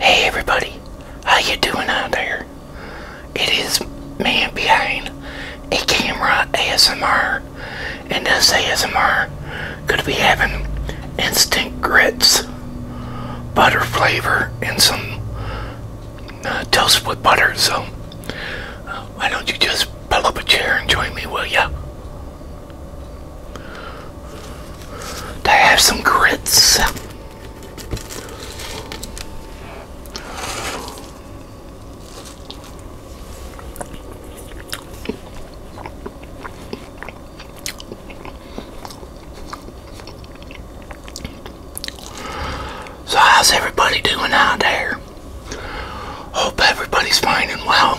Hey everybody, how you doing out there? It is man behind a camera ASMR, and this ASMR could be having instant grits, butter flavor, and some uh, toast with butter. So uh, why don't you just pull up a chair and join me, will you? to have some grits. So how's everybody doing out there? Hope everybody's fine and well.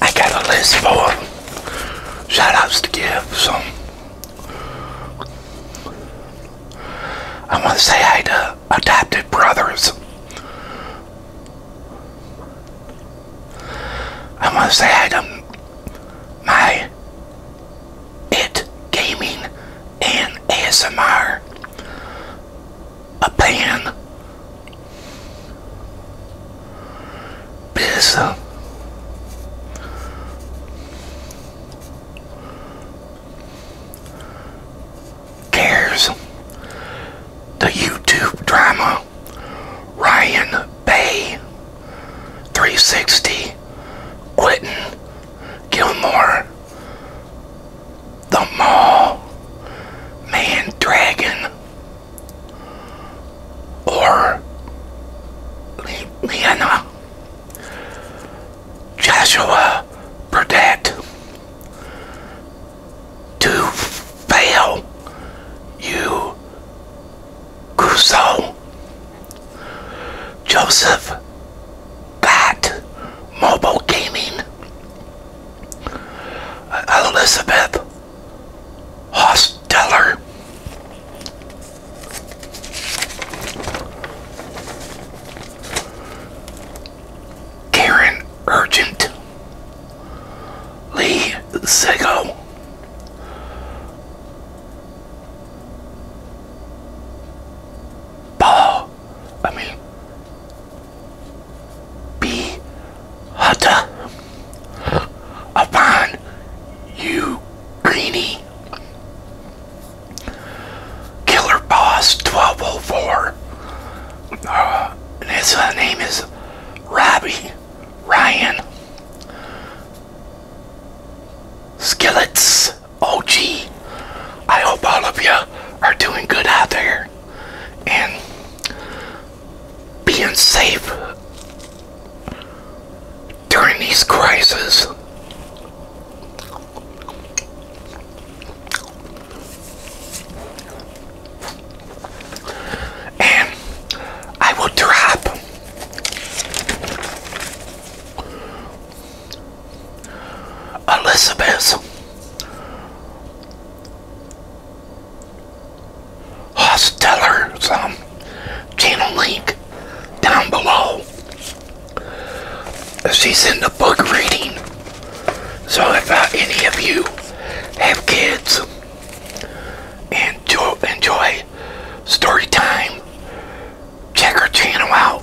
I got a list for shoutouts to give, so I want to say hi to adopted brothers. I want to say hi to my it Gaming and ASMR. A pan. Biz. Cares. The YouTube drama. Ryan Bay, 360, Quinton, Gilmore, The Mall, Man Dragon, or Le Leanna, Joshua Burdett, to fail you Crusoe, Joseph Bat, Mobile Gaming, Elizabeth Hosteller. Karen Urgent, Lee Zego. Ball, I mean, be Hutta upon you, Greenie. Killer Boss 1204. Uh, his uh, name is Robbie. Ryan. Skillets OG. I hope all of you are doing good out there and being safe during these crises and I will drop Elizabeth Hosteller's channel link down below. She's in the book reading. So if uh, any of you have kids, and enjoy, enjoy story time. Check our channel out.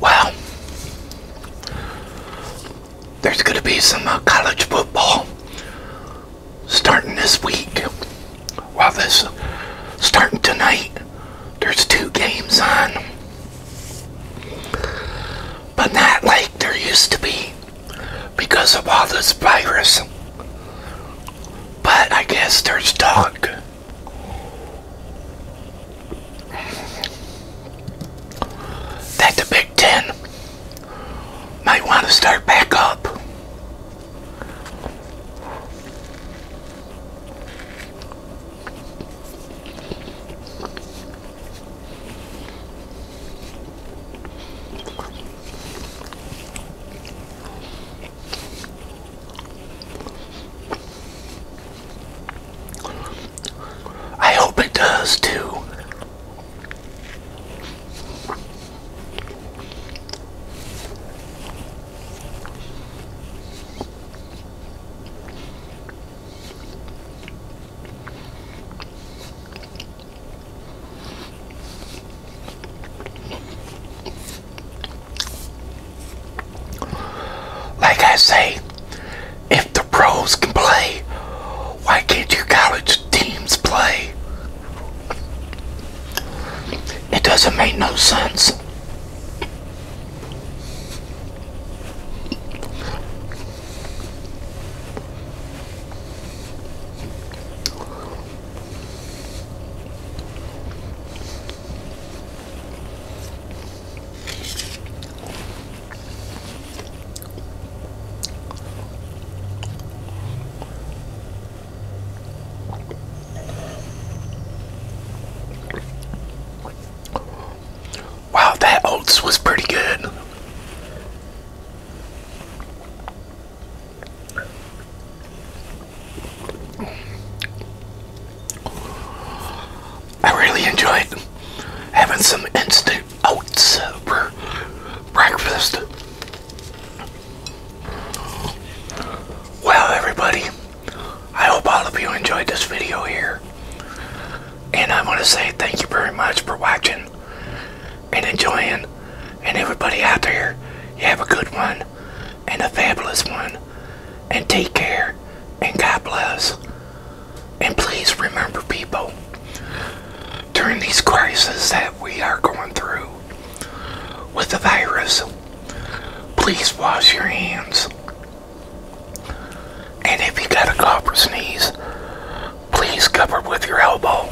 Well, there's going to be some uh, college football starting this week. While this starting tonight, there's two games on, but not like there used to be because of all this virus. But I guess there's talk. That the Big Ten might want to start back up. I hope it does too. Like I say, if the pros can play, why can't your college teams play? It doesn't make no sense. Wow, that oats was pretty good. I really enjoyed having some instant oats for breakfast. Well, everybody, I hope all of you enjoyed this video here. And I want to say thank you very much for watching and enjoying. And everybody out there, you have a good one and a fabulous one. And take care and God bless. And please remember, people, during these crises that we are going through with the virus, please wash your hands. And if you got a cough or sneeze, please cover with your elbow.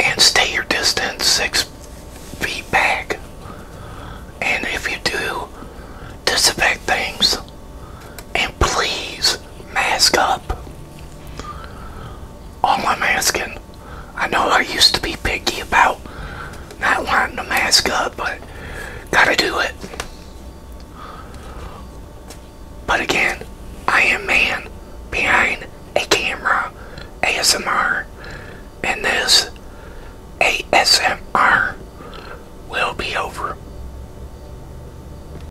And stay your distance six feet back. And if you do, disinfect things please, mask up. All I'm asking. I know I used to be picky about not wanting to mask up, but gotta do it. But again, I am man behind a camera ASMR, and this ASMR will be over.